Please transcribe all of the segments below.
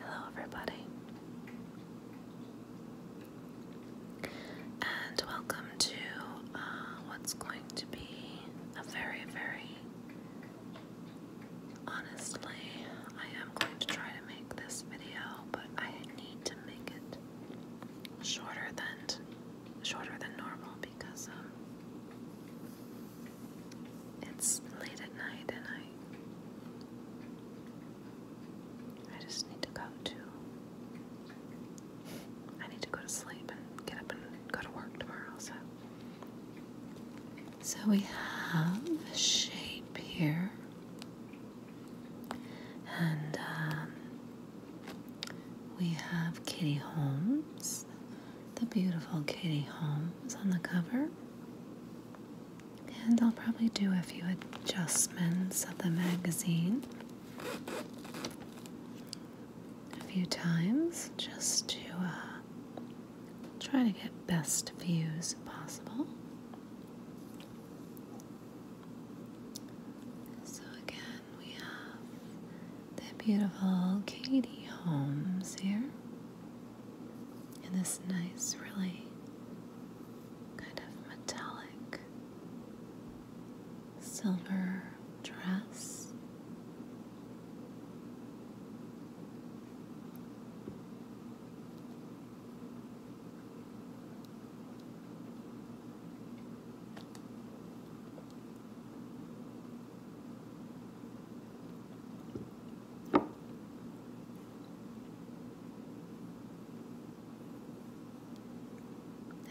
Hello, everybody, and welcome to uh, what's going to be a very, very honestly. I am going to try to make this video, but I need to make it shorter than shorter than normal because um, it's late at night and I I just need to go to I need to go to sleep and get up and go to work tomorrow, so so we have a shape here. And um, we have Kitty Holmes, the beautiful Katie Holmes on the cover. And I'll probably do a few adjustments of the magazine a few times just to uh, try to get best views possible. So again, we have the beautiful Katie Holmes here in this nice, really kind of metallic silver dress.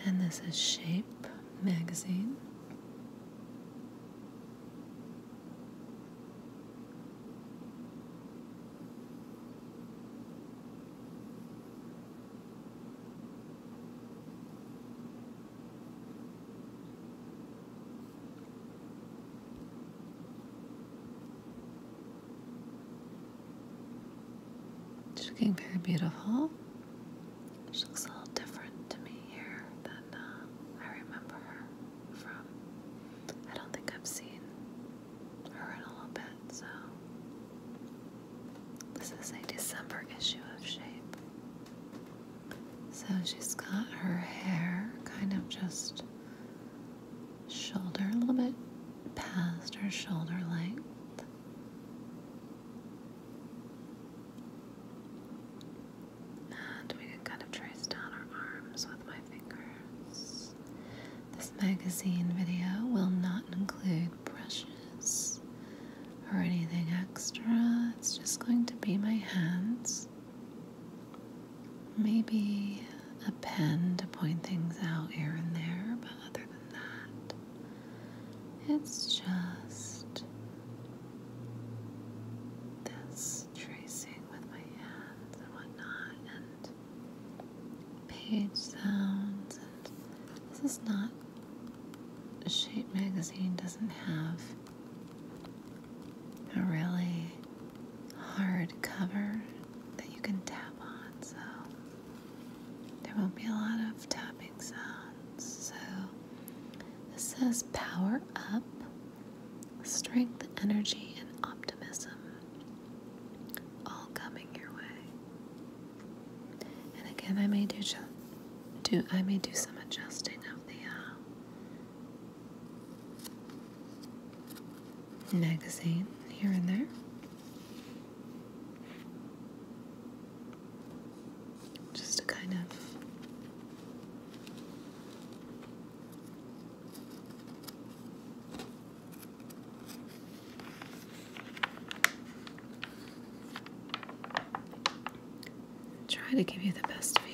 And this is Shape magazine. She's looking very beautiful. She looks a little different to me here than uh, I remember her from. I don't think I've seen her in a little bit, so. This is a December issue of Shape. So she's got her hair kind of just shoulder, a little bit past her shoulder length. And we can kind of trace down her arms with my fingers. This magazine video will not include brushes or anything extra. It's just going to be my hands Maybe a pen to point things out here and there, but other than that, it's just this tracing with my hands and whatnot, and page sounds. And this is not. a Shape magazine doesn't have a really hard cover that you can tap on, so there won't be a lot of tapping sounds. So this says power up, strength, energy, and optimism all coming your way. And again, I may do, do I may do some adjusting of the uh, magazine here and there. Just to kind of try to give you the best view.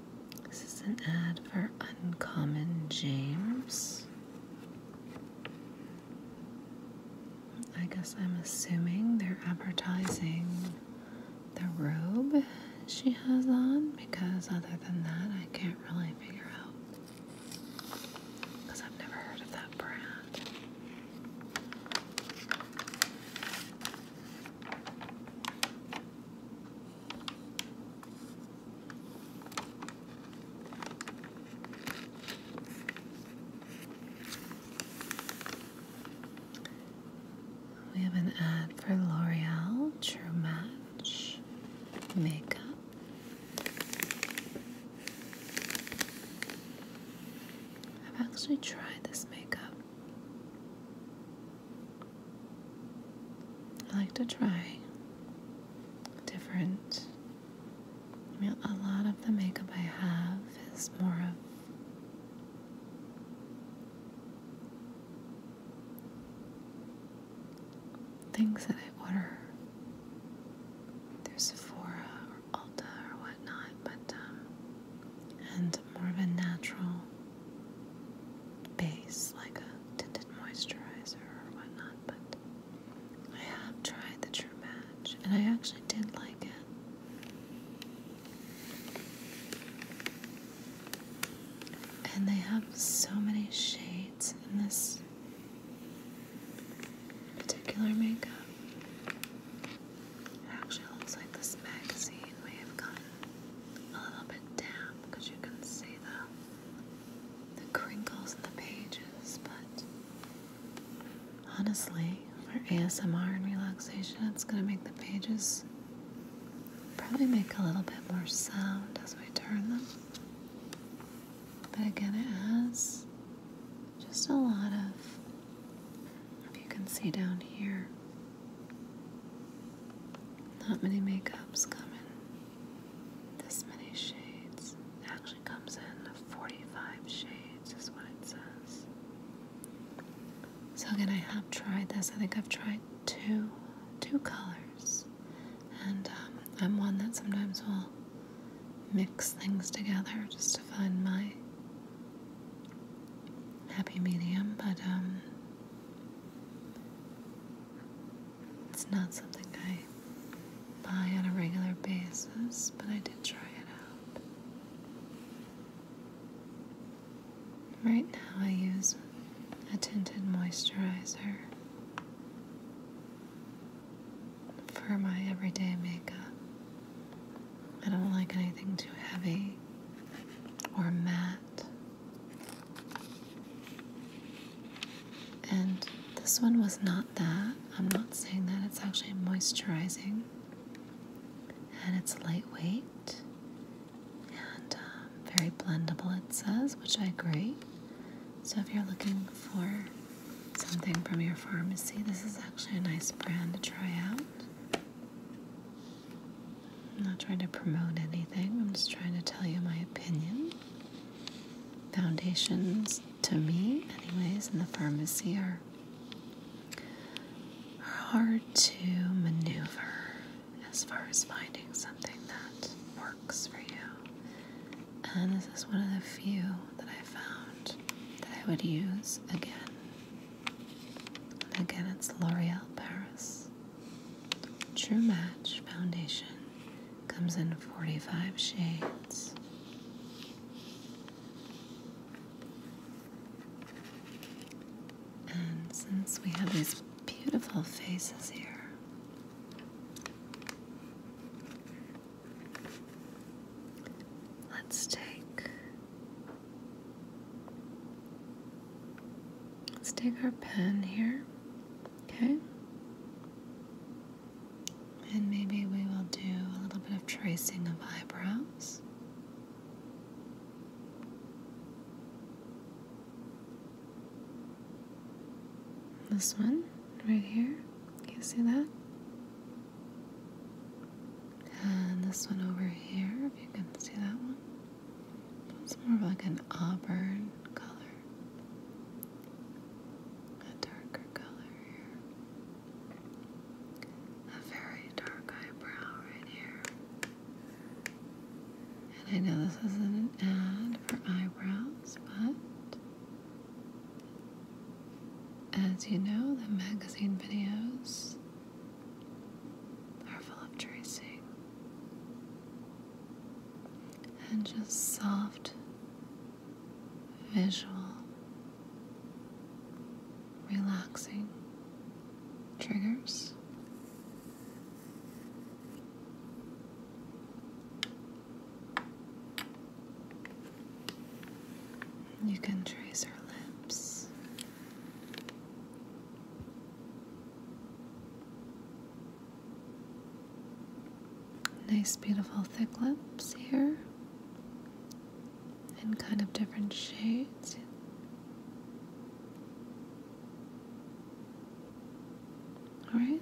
This is an ad for Uncommon James. I guess I'm assuming they're advertising the robe she has on because, other than that, I can't really figure out because I've never heard of that brand. We have an ad for L'Oreal True Match Makeup. I've actually tried this makeup. I like to try different. I mean, a lot of the makeup I have is more of things that I order through Sephora or Ulta or whatnot, but um, and more of a natural base, like a tinted moisturizer or whatnot, but I have tried the True Match, and I actually did like it. And they have so many shades in this particular makeup. It actually looks like this magazine may have gotten a little bit damp because you can see the, the crinkles in the pages, but honestly, for ASMR and relaxation, it's going to make the pages probably make a little bit more sound as we turn them. But again, it has just a lot of, if you can see down here, not many makeups come in this many shades. actually comes in 45 shades, is what it says. So again, I have tried this. I think I've tried two, two colors, and um, I'm one that sometimes will mix things together just to find my happy medium. But um, it's not something I buy on a regular basis, but I did try it out. Right now, I use a tinted moisturizer for my everyday makeup. I don't like anything too heavy or matte. And this one was not that. I'm not saying that. It's actually moisturizing. And it's lightweight and um, very blendable, it says, which I agree. So if you're looking for something from your pharmacy, this is actually a nice brand to try out. I'm not trying to promote anything, I'm just trying to tell you my opinion. Foundations, to me, anyways, in the pharmacy are, hard to maneuver as far as finding something that works for you. And this is one of the few that I found that I would use again. And again, it's L'Oreal Paris. True Match Foundation comes in 45 shades. And since we have these beautiful faces here, let's take Let's take our pen here, okay? And maybe we will do a little bit of tracing of eyebrows. This one right here, can you see that? And this one over here, if you can see that one. It's more of like an auburn color. A darker color here. A very dark eyebrow right here. And I know this isn't an ad for eyebrows, but as you know, the magazine videos are full of tracing and just soft visual relaxing triggers. You can trace her lips Nice, beautiful thick lips here in kind of different shades. All right.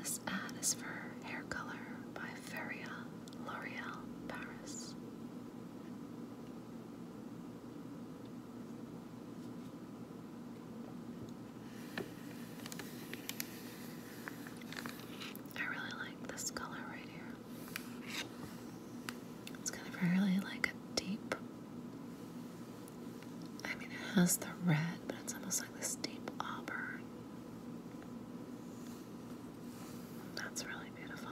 this ad is for hair color by Feria L'Oreal Paris. I really like this color right here. It's kind of really like a deep I mean, it has the red, but it's almost like this deep auburn. That's really beautiful.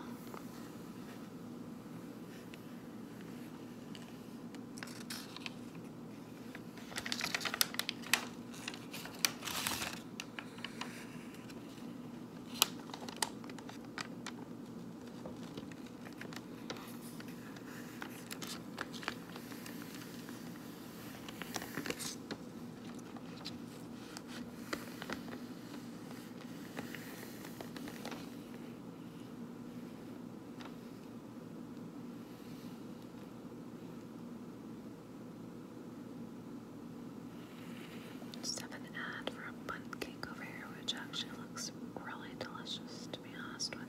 Just have an ad for a bundt cake over here, which actually looks really delicious, to be honest with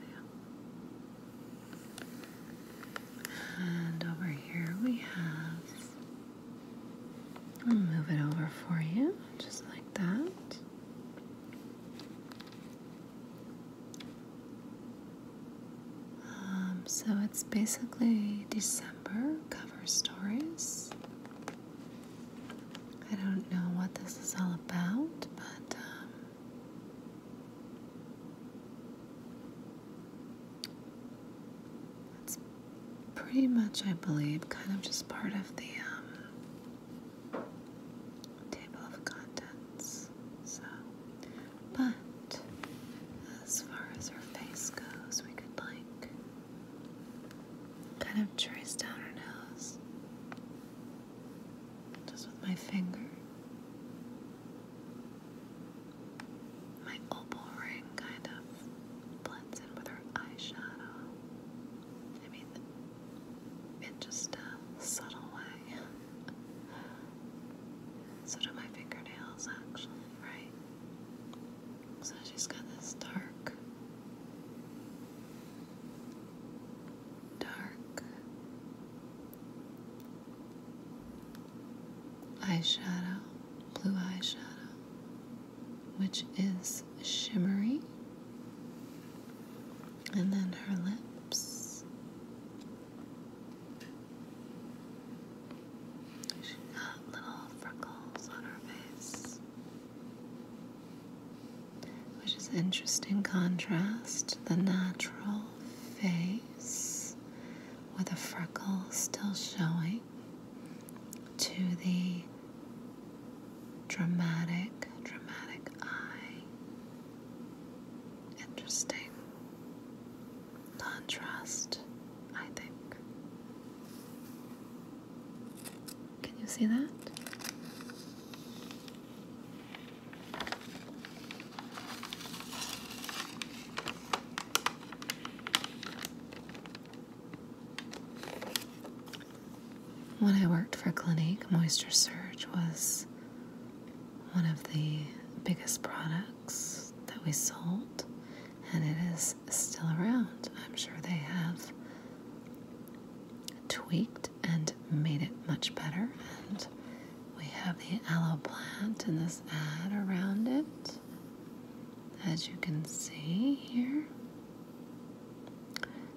you. And over here we have, I'll move it over for you, just like that. Um, so it's basically December cover stories. I don't know what this is all about, but um, that's pretty much, I believe, kind of just part of the um, table of contents. So, but as far as her face goes, we could like kind of trace down her nose just with my finger. My opal ring kind of blends in with her eyeshadow. I mean, in just a subtle way. so do my fingernails, actually, right? So she's got this dark dark eyeshadow, blue eyeshadow, which is shimmery, and then her lips. She's got little freckles on her face, which is interesting contrast. The natural face with a freckle still showing to the dramatic, dramatic eye. Interesting contrast, I think. Can you see that? When I worked for Clinique, Moisture Surge was one of the biggest products that we sold, and it is still around. I'm sure they have tweaked and made it much better. And we have the aloe plant and this ad around it, as you can see here.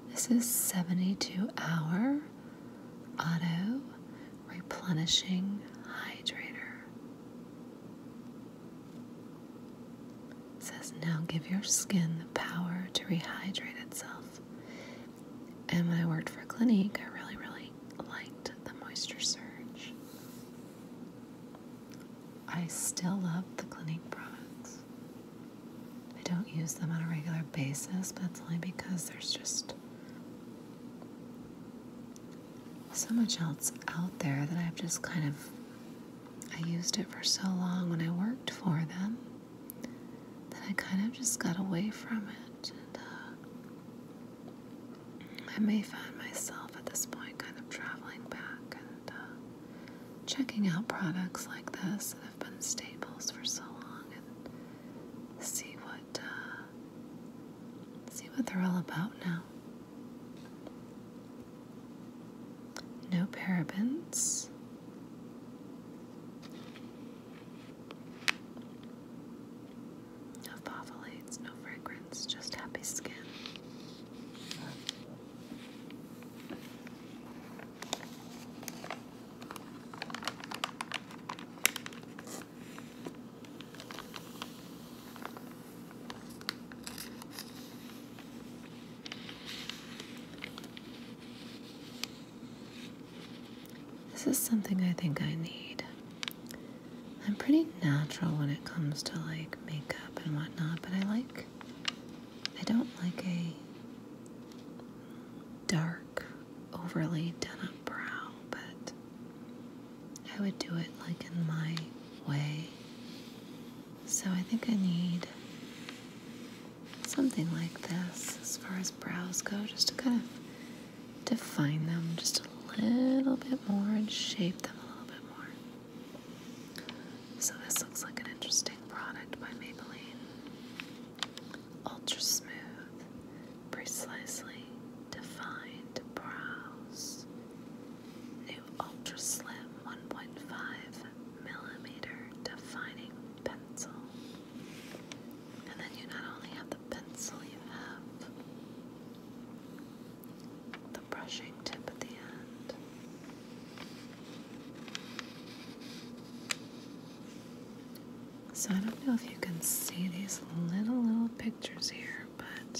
This is 72 hour auto replenishing hydrator. says now give your skin the power to rehydrate itself and when I worked for Clinique, I really, really liked the Moisture Surge. I still love the Clinique products. I don't use them on a regular basis, but it's only because there's just so much else out there that I've just kind of I used it for so long when I worked for them then I kind of just got away from it. And uh, I may find myself at this point kind of traveling back and uh, checking out products like this that have been staples for so long and see what uh, see what they're all about now. No parabens. No favolates, no fragrance, just happy skin. This is something I think I need. I'm pretty natural when it comes to like makeup and whatnot, but I like, I don't like a dark, overly done up brow, but I would do it like in my way. So I think I need something like this as far as brows go, just to kind of define them just a little bit more and shape them a little bit more. So this looks like an interesting product by Maybelline. Ultra smooth, precisely defined brows. New ultra slim 1.5 millimeter defining pencil. And then you not only have the pencil, you have the brushing tip at the end. So I don't know if you can see these little, little pictures here, but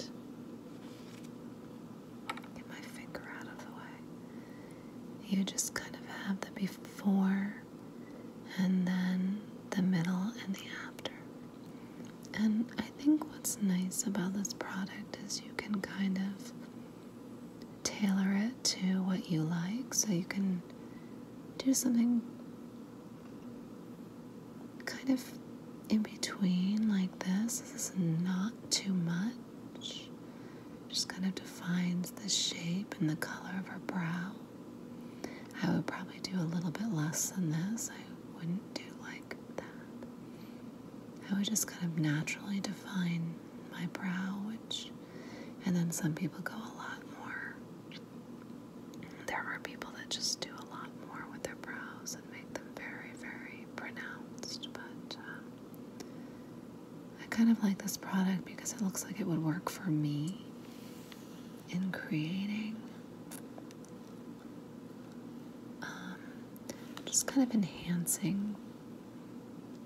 get my finger out of the way. You just kind of have the before and then the middle and the after. And I think what's nice about this product is you can kind of tailor it to what you like so you can do something kind of in between like this. This is not too much. Just kind of defines the shape and the color of her brow. I would probably do a little bit less than this. I wouldn't do like that. I would just kind of naturally define my brow, which, and then some people go a lot more. There are people that just do a lot more with their brows and make them very, very pronounced. But um, I kind of like this product because it looks like it would work for me in creating. Um, just kind of enhancing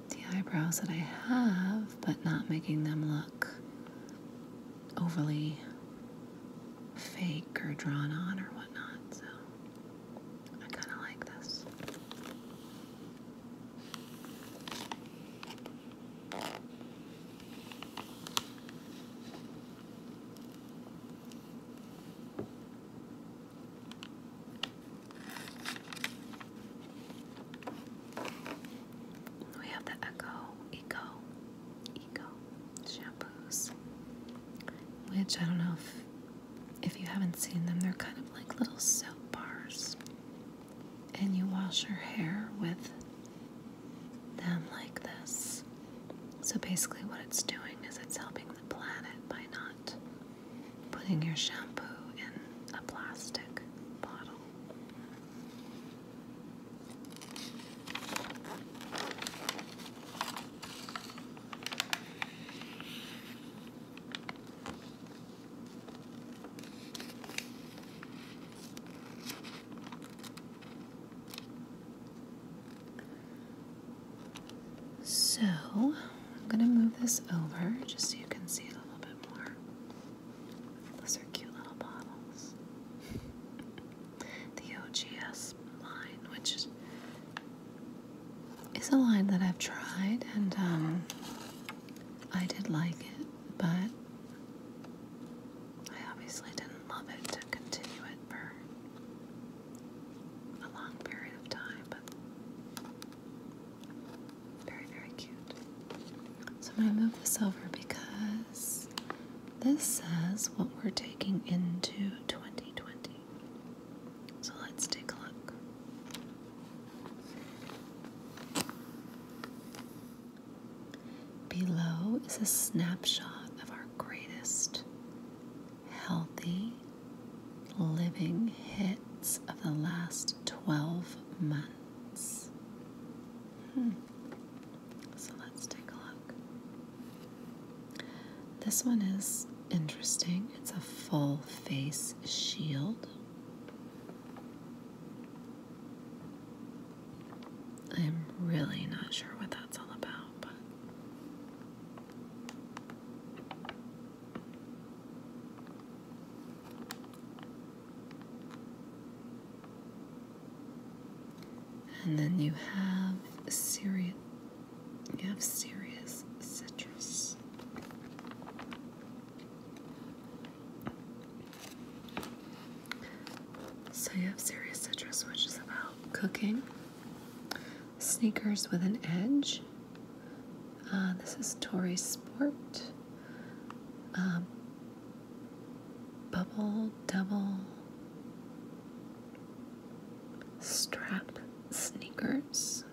the eyebrows that I have, but not making them look overly fake or drawn on or whatnot. So I kind of like this. We have the Echo Eco Eco shampoos, which I don't know if if you haven't seen them, they're kind of like little soap bars and you wash your hair with them like this. So basically, what it's doing is it's helping the planet by not putting your shampoo in a plastic bottle. So I'm going to move this over just so you can see it a little bit more. Those are cute little bottles. the OGS line, which is a line that I've tried and um, I did like it but I obviously didn't love it to continue it for a long period of time, but very, very cute. So I'm going to move this over because this says what we're taking into 2020. So let's take a look. Below is a snapshot of our greatest healthy living hits of the last 12 months. Hmm. So let's take a look. This one is interesting, it's a full face shield. I'm really not sure what that's all about, but. And then you have serious, you have serious citrus. So you have Serious Citrus, which is about cooking. Sneakers with an Edge. Uh, this is Tory Sport. Um, bubble Double Strap Sneakers.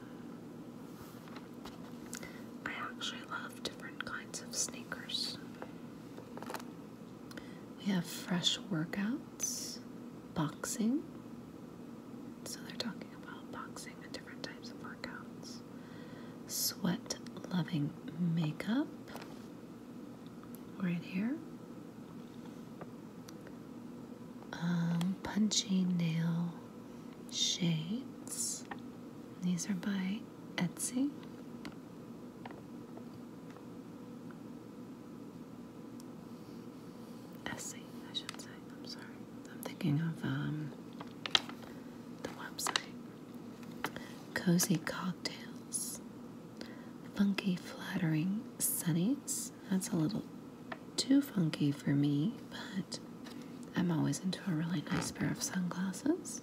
I actually love different kinds of sneakers. We have fresh workouts, boxing. So they're talking about boxing and different types of workouts. Sweat loving makeup right here. Um, punchy nail shades. These are by Etsy. Etsy, I should say. I'm sorry. I'm thinking of um, the website. Cozy cocktails, funky, flattering sunnies. That's a little too funky for me, but I'm always into a really nice pair of sunglasses.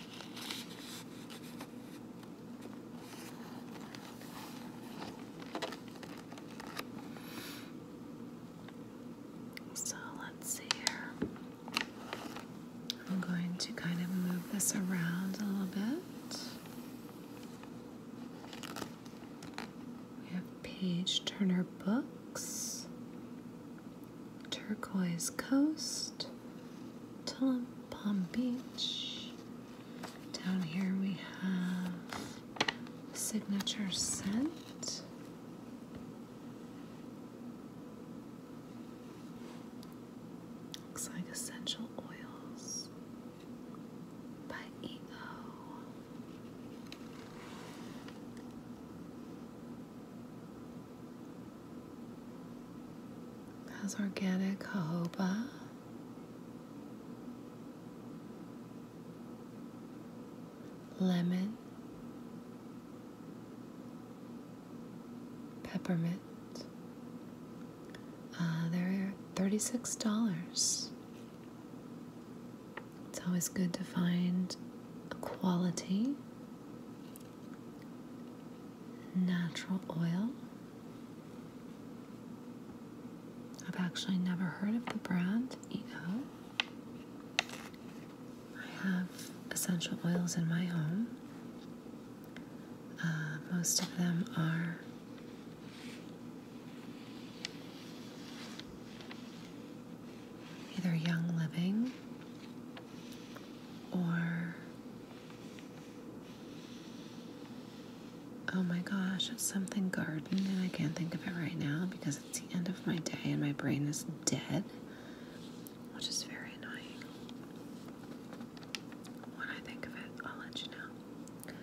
So let's see here. I'm going to kind of move this around a little bit. We have Page Turner Books. Turquoise Coast, Tulum Palm Beach. Down here we have Signature Scent. Looks like Essential Oils by E.O. Has organic jojoba. Lemon. Peppermint. Uh, they're $36. It's always good to find a quality natural oil. I've actually never heard of the brand EO. I have essential oils in my home. Uh, most of them are either Young Living or, oh my gosh, something garden, and I can't think of it right now because it's the end of my day and my brain is dead, which is very annoying. When I think of it, I'll let you know.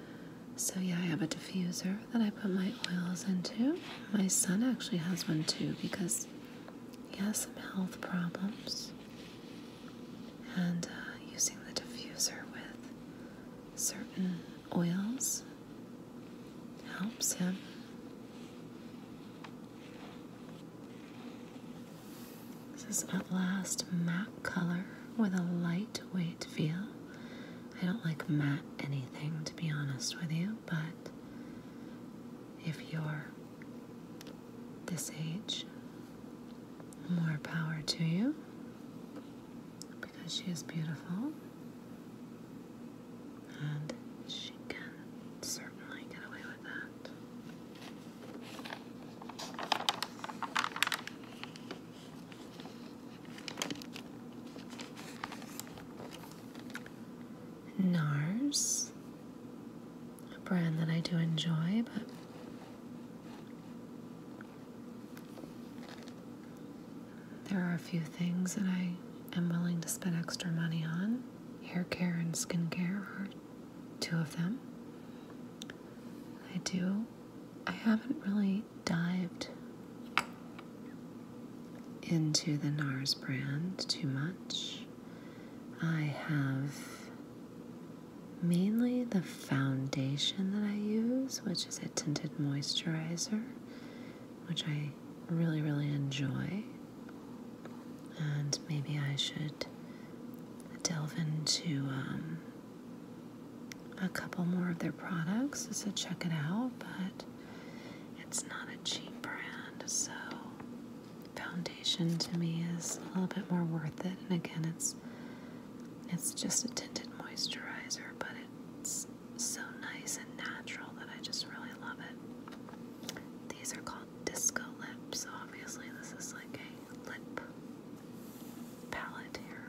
So, yeah, I have a diffuser that I put my oils into. My son actually has one too because he has some health problems, and uh, using the diffuser with certain oils helps him. This is at last matte color with a lightweight feel. I don't like matte anything to be honest with you, but if you're this age. More power to you because she is beautiful and she can certainly get away with that. NARS, a brand that I do enjoy, but there are a few things that I am willing to spend extra money on. Hair care and skincare are two of them. I do. I haven't really dived into the NARS brand too much. I have mainly the foundation that I use, which is a tinted moisturizer, which I really, really enjoy. And maybe I should delve into um, a couple more of their products, so check it out, but it's not a cheap brand, so foundation to me is a little bit more worth it. And again, it's it's just a tinted moisturizer, but it's so nice and natural that I just really love it. These are called Disco Lips. So obviously, this is like a lip palette here.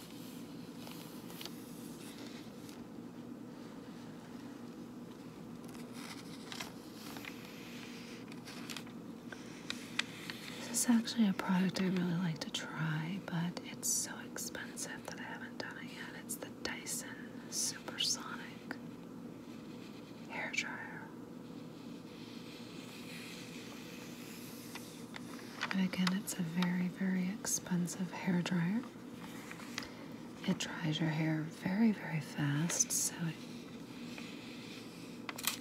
This is actually a product I really like to try, but it's so expensive that I haven't done it yet. It's the Dyson Supersonic Hair Dryer. And again, it's a very, very expensive hair dryer. It dries your hair very, very fast, so it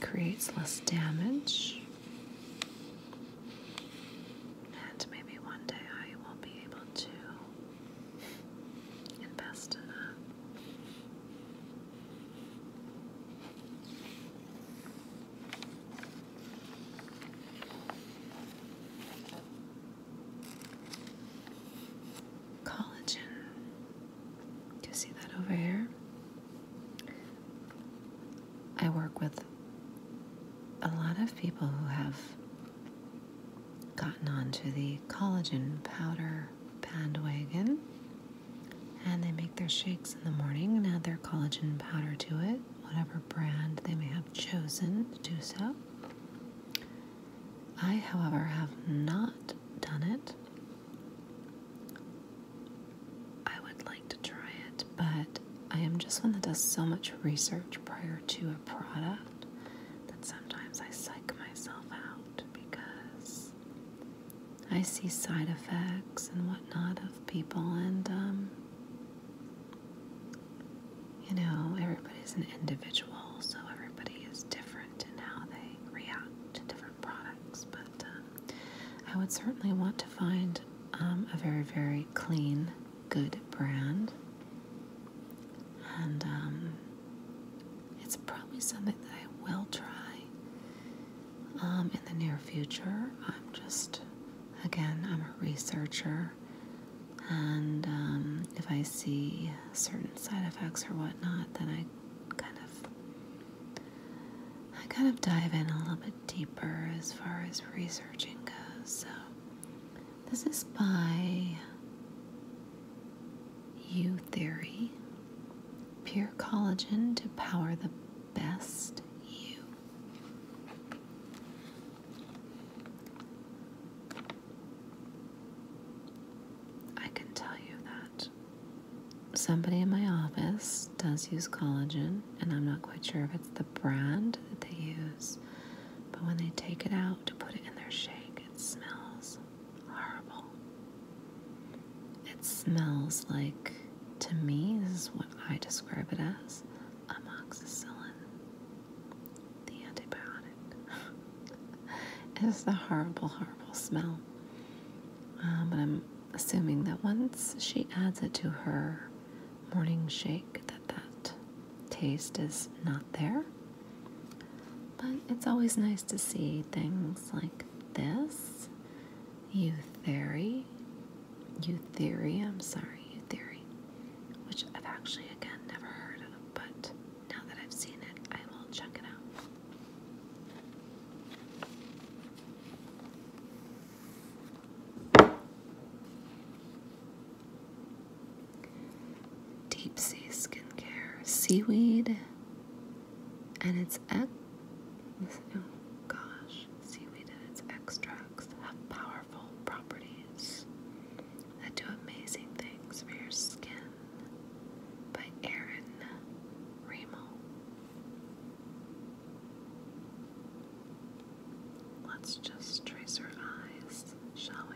creates less damage. And maybe one day I will be able to invest in Collagen. Do you see that over here? I work with a lot of people who have gotten onto the collagen powder bandwagon and they make their shakes in the morning and add their collagen powder to it whatever brand they may have chosen to do so. I, however, have not done it. I would like to try it, but I am just one that does so much research prior to a product that sometimes I psych myself out because I see side effects and whatnot of people, and um, you know, everybody is an individual, so everybody is different in how they react to different products. But um, I would certainly want to find um, a very, very clean, good brand. And um, it's probably something that I will try in the near future. I'm just, again, I'm a researcher. And um, if I see certain side effects or whatnot, then I kind of I kind of dive in a little bit deeper as far as researching goes. So this is by U Theory. Pure collagen to power the best you. I can tell you that somebody in my office does use collagen, and I'm not quite sure if it's the brand that they use, but when they take it out to put it in their shake, it smells horrible. It smells like, to me, is what I describe it as amoxicillin, the antibiotic. it is the horrible, horrible smell. Um, but I'm assuming that once she adds it to her morning shake, that that taste is not there. But it's always nice to see things like this, You theory. Eutheria, I'm sorry, Eutheria, which I've actually, again, never heard of, but now that I've seen it, I will check it out. Deep sea skincare, seaweed, and it's oh gosh, seaweed and its extracts have powerful properties that do amazing things for your skin by Erin Remo. Let's just trace her eyes, shall we?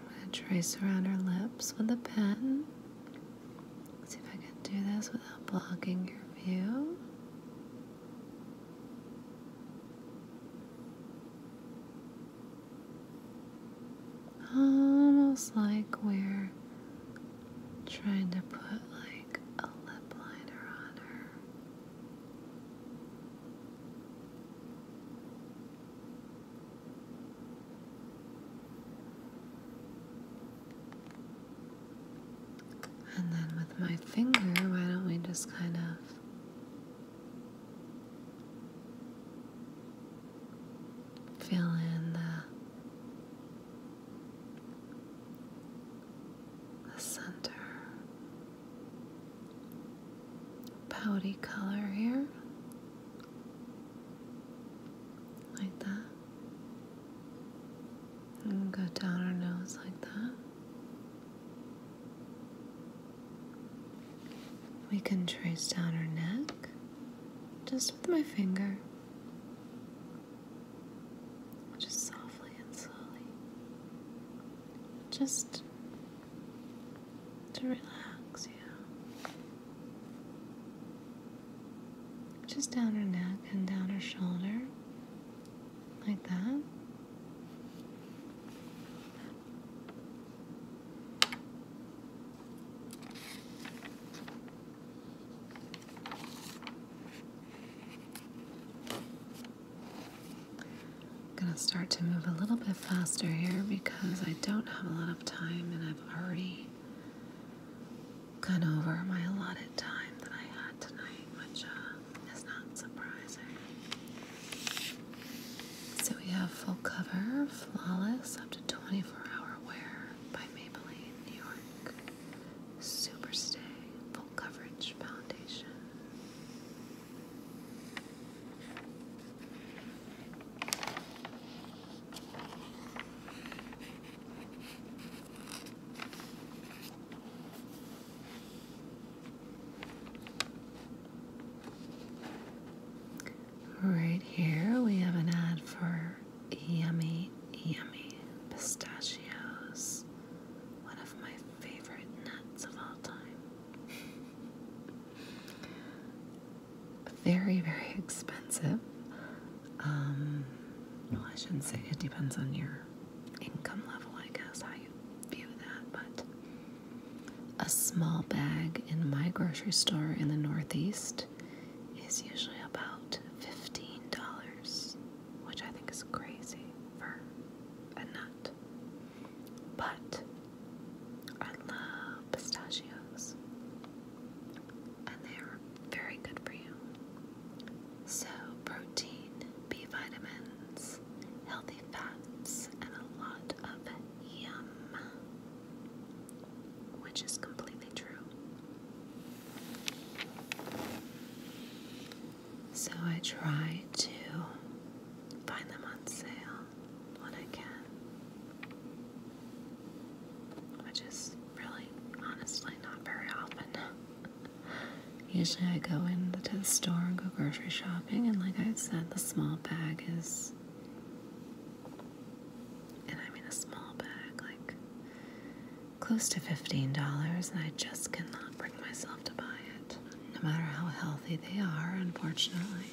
I'm going to trace around her lips with a pen. see if I can do this without blocking your view almost like we're trying to put like a lip liner on her. And then with my finger, why don't we just kind of Fill in the, center. Pouty color here, like that, and go down our nose like that. We can trace down our neck just with my finger, just softly and slowly, just to relax you. Yeah. Just down her neck and down her shoulder, like that. I'm gonna start to move a little bit faster here because I don't have a lot of time and I've already gone over my allotted time that I had tonight, which uh, is not surprising. So we have full cover, flawless, up to 24 hour wear by Maybelline New York. Superstay Full Coverage Foundation. Right here we have an ad for yummy, yummy pistachios. One of my favorite nuts of all time. very, very expensive. Um, well, I shouldn't say it depends on your income level, I guess, how you view that. But a small bag in my grocery store in the Northeast is usually about $15, which I think is crazy for a nut. But I love pistachios, and they are very good for you. So, protein, B vitamins, healthy fats, and a lot of yum which is completely true. So I try to find them on sale when I can, which is really honestly not very often. Usually I go into the store and go grocery shopping, and like I said, the small bag is and I mean a small bag, like close to $15, and I just cannot bring myself to buy it, no matter how healthy they are, unfortunately.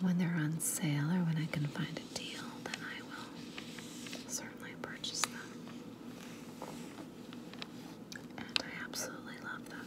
When they're on sale or when I can find a deal, then I will certainly purchase them. And I absolutely love them.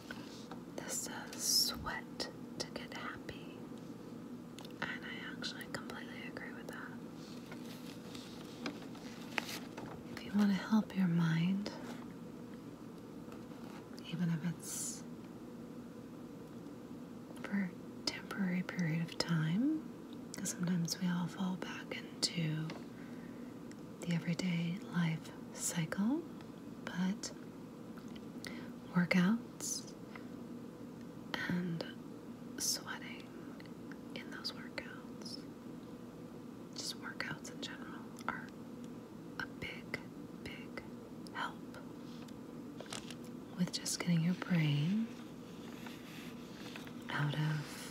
This says sweat to get happy. And I actually completely agree with that. If you want to help your mind, even if it's for a temporary period of time, because sometimes we all fall back into the everyday life cycle, but workouts and sweating in those workouts. Just workouts in general are a big, big help with just getting your brain out of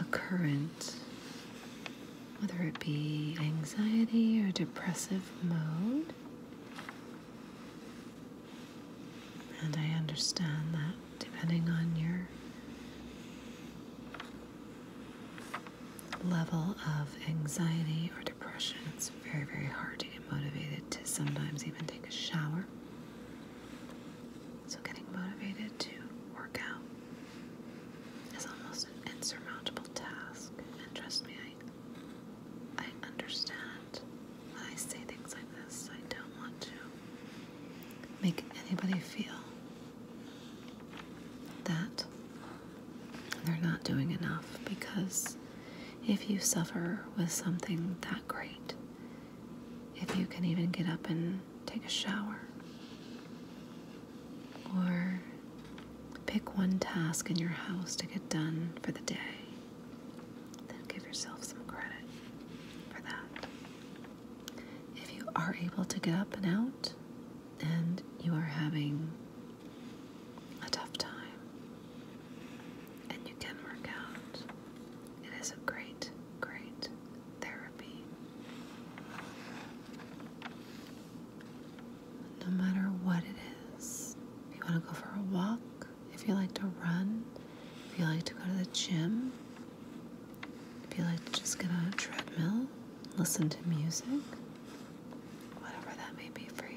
a current whether it be anxiety or depressive mode. And I understand that depending on your level of anxiety or depression, it's very, very hard to get motivated to sometimes even take a shower. So, getting motivated to work out is almost an insurmountable task, and trust me, I, I understand when I say things like this. I don't want to make anybody feel that they're not doing enough because if you suffer with something that great, if you can even get up and take a shower, or pick one task in your house to get done for the day. Then give yourself some credit for that. If you are able to get up and out and you are having a tough time and you can work out, it is a great, great therapy no matter what it is. If you want to go for a walk, if you like to run, if you like to go to the gym, if you like to just get on a treadmill, listen to music, whatever that may be for you.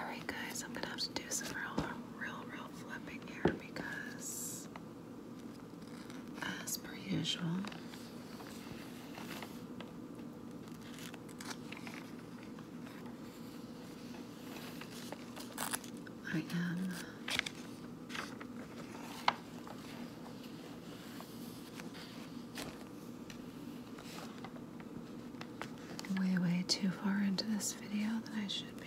Alright, guys, I'm gonna have to do some real, real, real flipping here because, as per usual, I am Way, way too far into this video than I should be.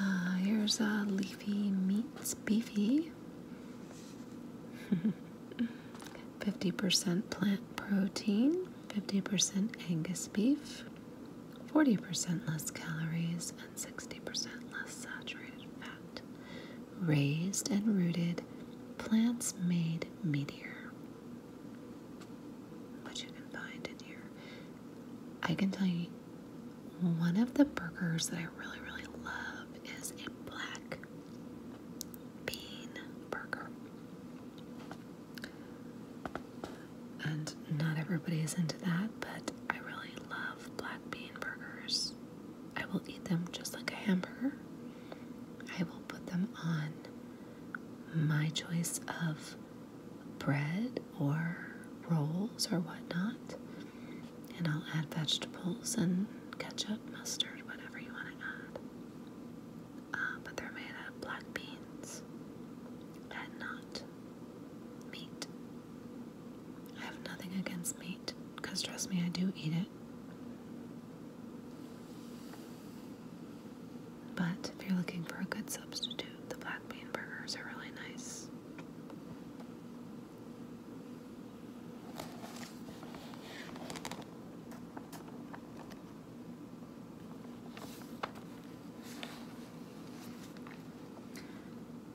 Uh, here's a leafy meets beefy. 50% plant protein, 50% Angus beef, 40% less calories, and 60% less saturated fat. Raised and rooted, plants made meteor. What you can find in here. I can tell you one of the burgers that I really, really love is a black bean burger. And not everybody is into that, but I really love black bean burgers. I will eat them just like a hamburger. I will put them on my choice of bread or rolls or whatnot. And I'll add vegetables and ketchup, mustard, whatever you want to add. Uh, but they're made of black beans and not meat. I have nothing against meat, because trust me, I do eat it. But if you're looking for a good substitute, the black bean burgers are really nice.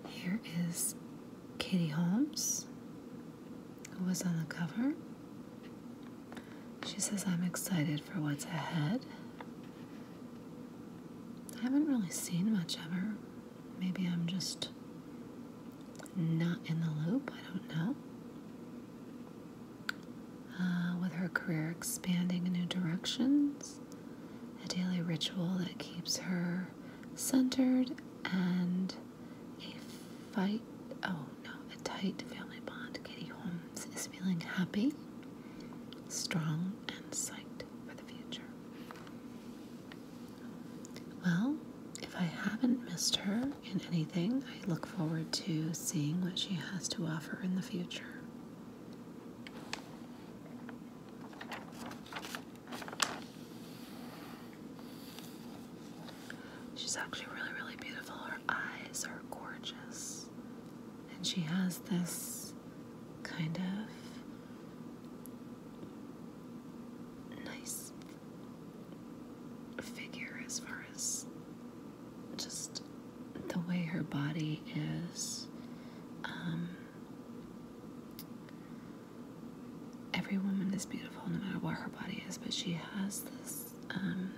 Here is Katie Holmes, who was on the cover. She says, I'm excited for what's ahead. I haven't really seen much of her. Maybe I'm just not in the loop, I don't know. Uh, with her career expanding in new directions, a daily ritual that keeps her centered, and a fight oh no, a tight family bond. Kitty Holmes is feeling happy, strong, and psyched for the future. Well, if I haven't missed her in anything, I look forward to seeing what she has to offer in the future. She's actually really, really beautiful. Her eyes are gorgeous. And she has this kind of nice figure as far as just the way her body is. Um, every woman is beautiful no matter what her body is, but she has this um,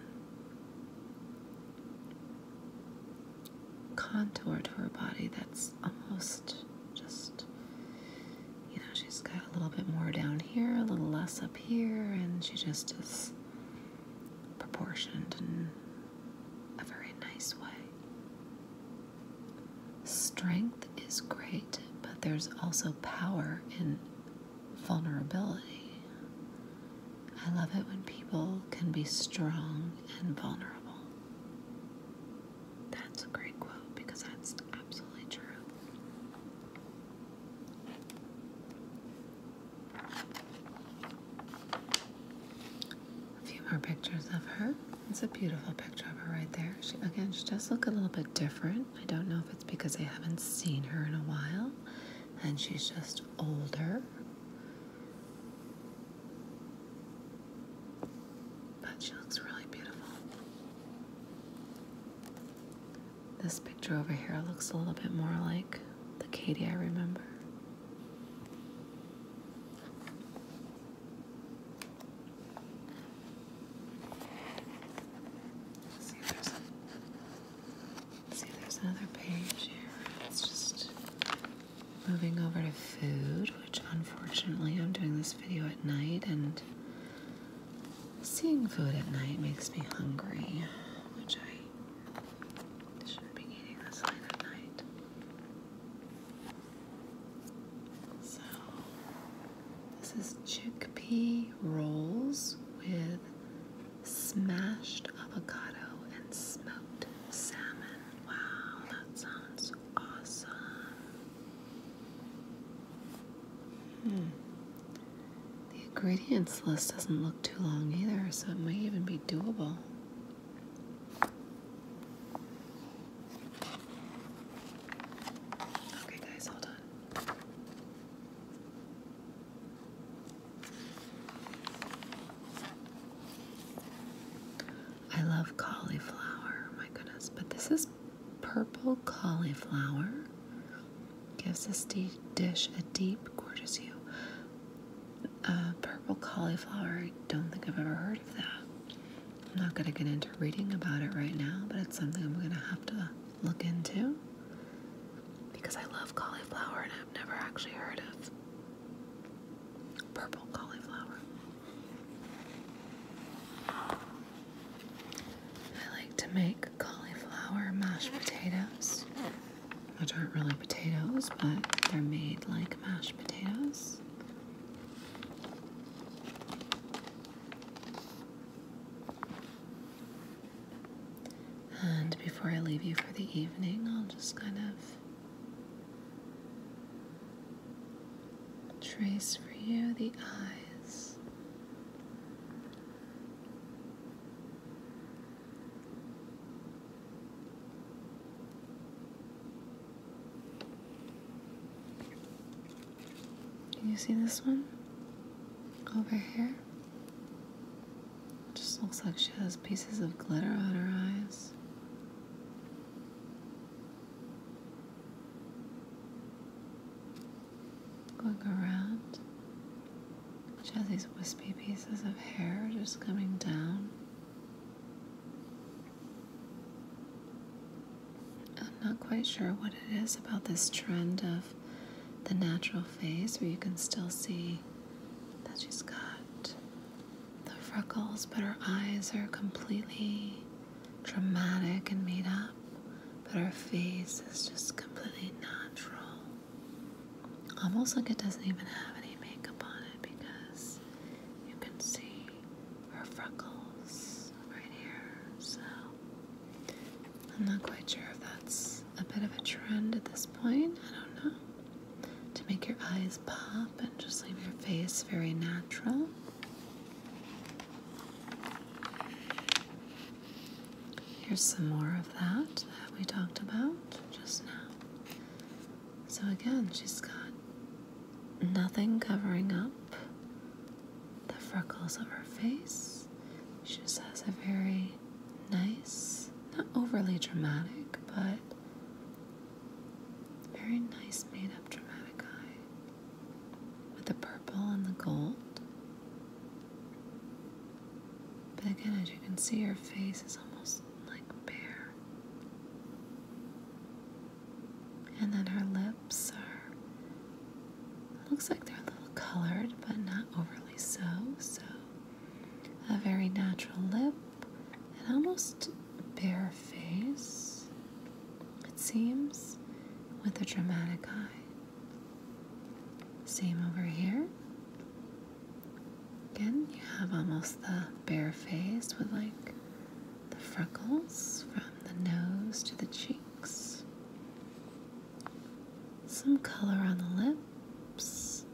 contour to her body that's almost just, you know, she's got a little bit more down here, a little less up here, and she just is proportioned in a very nice way. Strength is great, but there's also power in vulnerability. I love it when people can be strong and vulnerable. That's a great quote because that's absolutely true. A few more pictures of her. It's a beautiful picture of her right there. She, again, she does look a little bit different. I don't know if it's because I haven't seen her in a while and she's just older. But she looks really beautiful. This picture over here looks a little bit more like the Katie I remember. see there's, another page here. It's just Moving over to food, which unfortunately I'm doing this video at night, and seeing food at night makes me hungry, which I shouldn't be eating this late at night. So, this is chickpea rolls with smashed avocado and smoked salmon. Wow, that sounds awesome. The ingredients list doesn't look too long either, so it might even be doable. Okay, guys, hold on. I love cauliflower. Oh my goodness. But this is purple cauliflower. Gives this dish a deep, gorgeous hue. Uh, purple cauliflower, I don't think I've ever heard of that. I'm not going to get into reading about it right now, but it's something I'm going to have to look into because I love cauliflower and I've never actually heard of purple cauliflower. I like to make cauliflower mashed potatoes, which aren't really potatoes, but they're made like mashed potatoes. And before I leave you for the evening, I'll just kind of trace for you the eyes. Can you see this one over here? Just looks like she has pieces of glitter on her eyes. Look around. She has these wispy pieces of hair just coming down. I'm not quite sure what it is about this trend of the natural face where you can still see that she's got the freckles, but her eyes are completely Traumatic and made up, but her face is just completely natural. Almost like it doesn't even have any makeup on it because you can see her freckles right here. So I'm not quite sure if that's a bit of a trend at this point. I don't know. To make your eyes pop and just leave your face very natural. Here's some more of that that we talked about just now. So again, she's got nothing covering up the freckles of her face. She just has a very nice, not overly dramatic, but very nice made up dramatic eye with the purple and the gold. But again, as you can see, her face is almost like bare. And then her lips are, looks like they're a little colored, but not overly so. So, a very natural lip an almost bare face, it seems, with a dramatic eye. Same over here. Again, you have almost the bare face with like the freckles from the nose to the cheeks. Some color on the lips,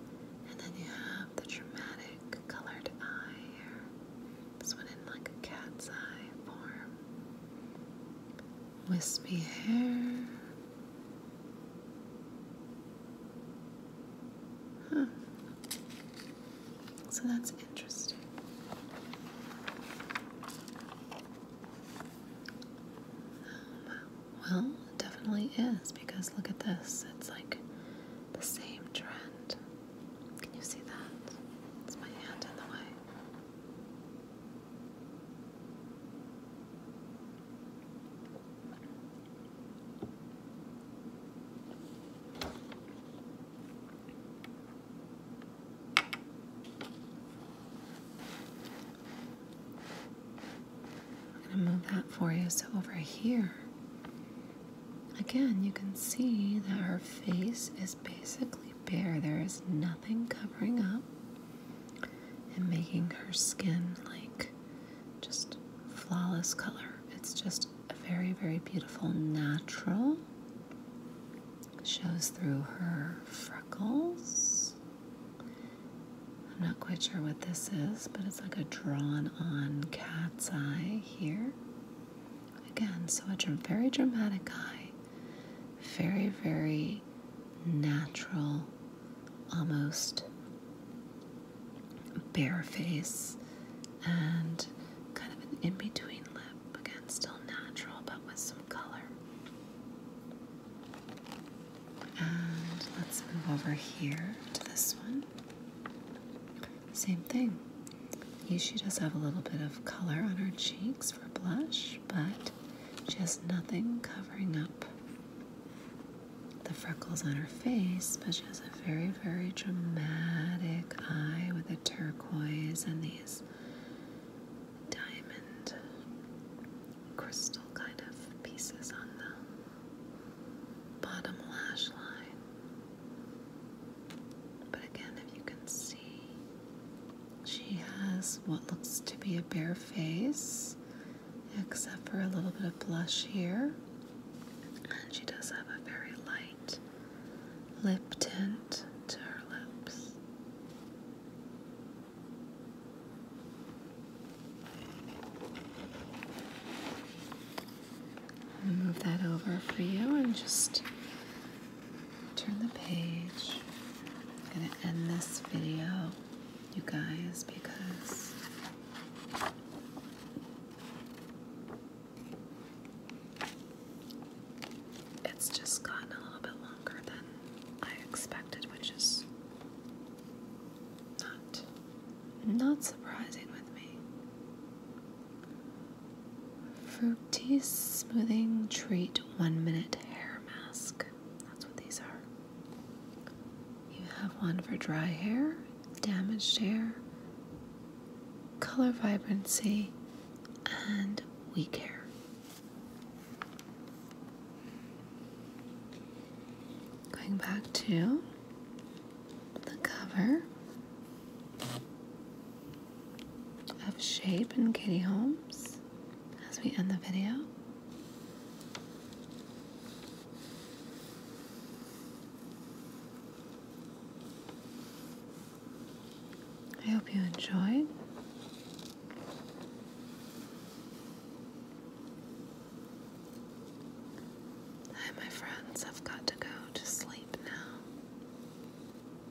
and then you have the dramatic colored eye here. This one in like a cat's eye form. Wispy hair. Huh. So that's interesting. Um, well, it definitely is because look at this. It's like the same trend. Can you see that? It's my hand in the way. I'm going to move that for you so over here Again, you can see that her face is basically bare. There is nothing covering up and making her skin like just flawless color. It's just a very, very beautiful natural. Shows through her freckles. I'm not quite sure what this is, but it's like a drawn on cat's eye here. Again, so a very dramatic eye, very, very natural, almost bare face, and kind of an in between lip. Again, still natural but with some color. And let's move over here to this one. Same thing. Here she does have a little bit of color on her cheeks for blush, but she has nothing covering up the freckles on her face, but she has a very, very dramatic eye with a turquoise and these diamond crystal kind of pieces on the bottom lash line. But again, if you can see, she has what looks to be a bare face, except for a little bit of blush here. And she does have a very light lip tint to her lips. I'll move that over for you and just turn the page. I'm going to end this video, you guys, because it's just gotten a little bit longer than I expected, which is not not surprising with me. Fruity Smoothing Treat One Minute Hair Mask. That's what these are. You have one for dry hair, damaged hair, color vibrancy, and weak hair. Going back to the cover of shape and Katie Holmes as we end the video. I hope you enjoyed. Hi, my friends, I've got to go to sleep now.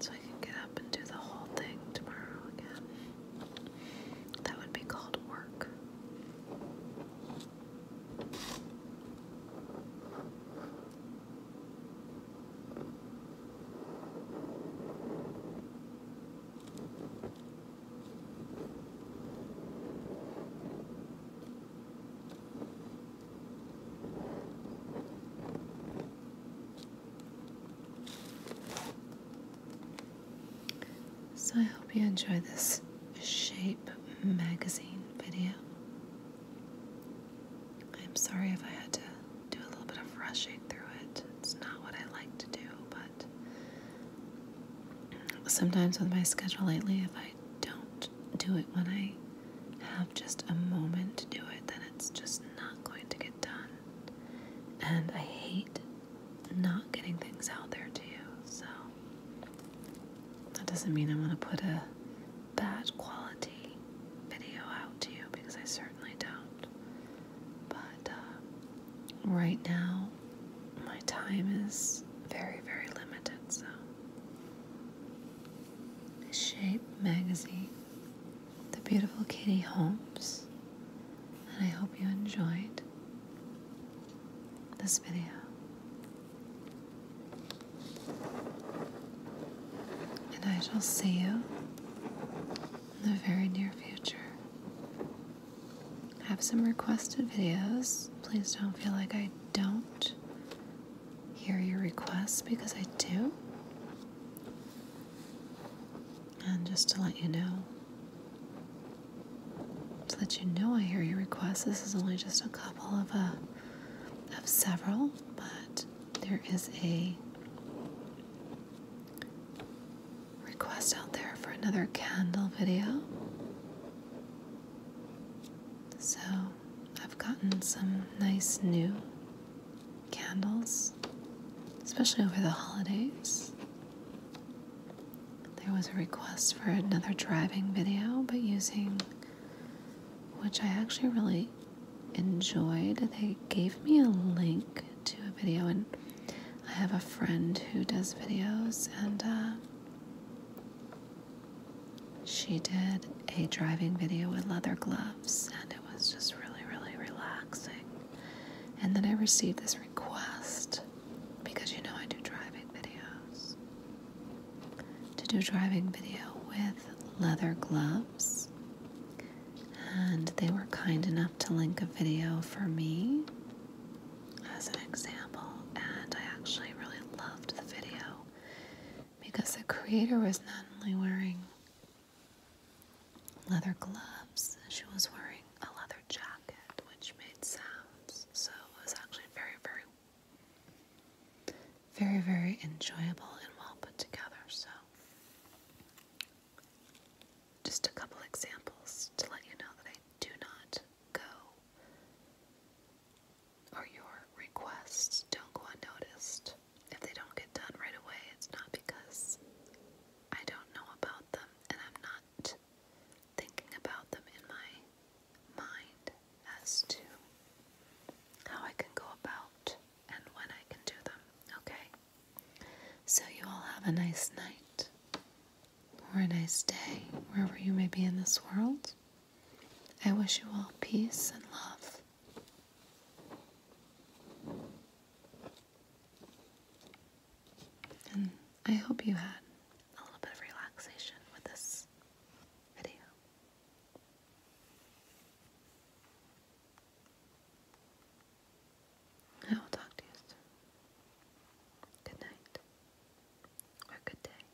So I can get up and do the whole thing tomorrow again. That would be called work. So I hope you enjoy this Shape magazine video. I'm sorry if I had to do a little bit of rushing through it. It's not what I like to do, but sometimes with my schedule lately, if I don't do it when I have just a moment to do it, then it's just not going to get done. And I hate not getting things out there to you, so that doesn't mean I am going to put a bad quality video out to you because I certainly don't. But uh, right now, my time is very, very limited, so Shape magazine, the beautiful Kitty Holmes, and I hope you enjoyed this video. And I shall see you in the very near future. have some requested videos. Please don't feel like I don't hear your requests because I do. And just to let you know, so that you know I hear your requests, this is only just a couple of uh, of several, but there is a request out there for another candle video. So I've gotten some nice new candles, especially over the holidays. There was a request for another driving video, but using which I actually really enjoyed. They gave me a link to a video, and I have a friend who does videos, and uh, she did a driving video with leather gloves, and it was just really, really relaxing. And then I received this request because you know I do driving videos to do a driving video with leather gloves, and they were kind enough to link a video for me as an example, and I actually really loved the video because the Creator was not only wearing leather gloves, she was wearing a leather jacket which made sounds. So it was actually very, very, very, very enjoyable and well put together. So, just a couple examples to let you know that I do not go or your requests don't go unnoticed. If they don't get done right away, it's not because I don't know about them and I'm not thinking about them in my mind as to how I can go about and when I can do them, okay? So, you all have a nice night or a nice day wherever you may be in this world. I wish you all peace and love. And I hope you had a little bit of relaxation with this video. I will talk to you soon. Good night or good day.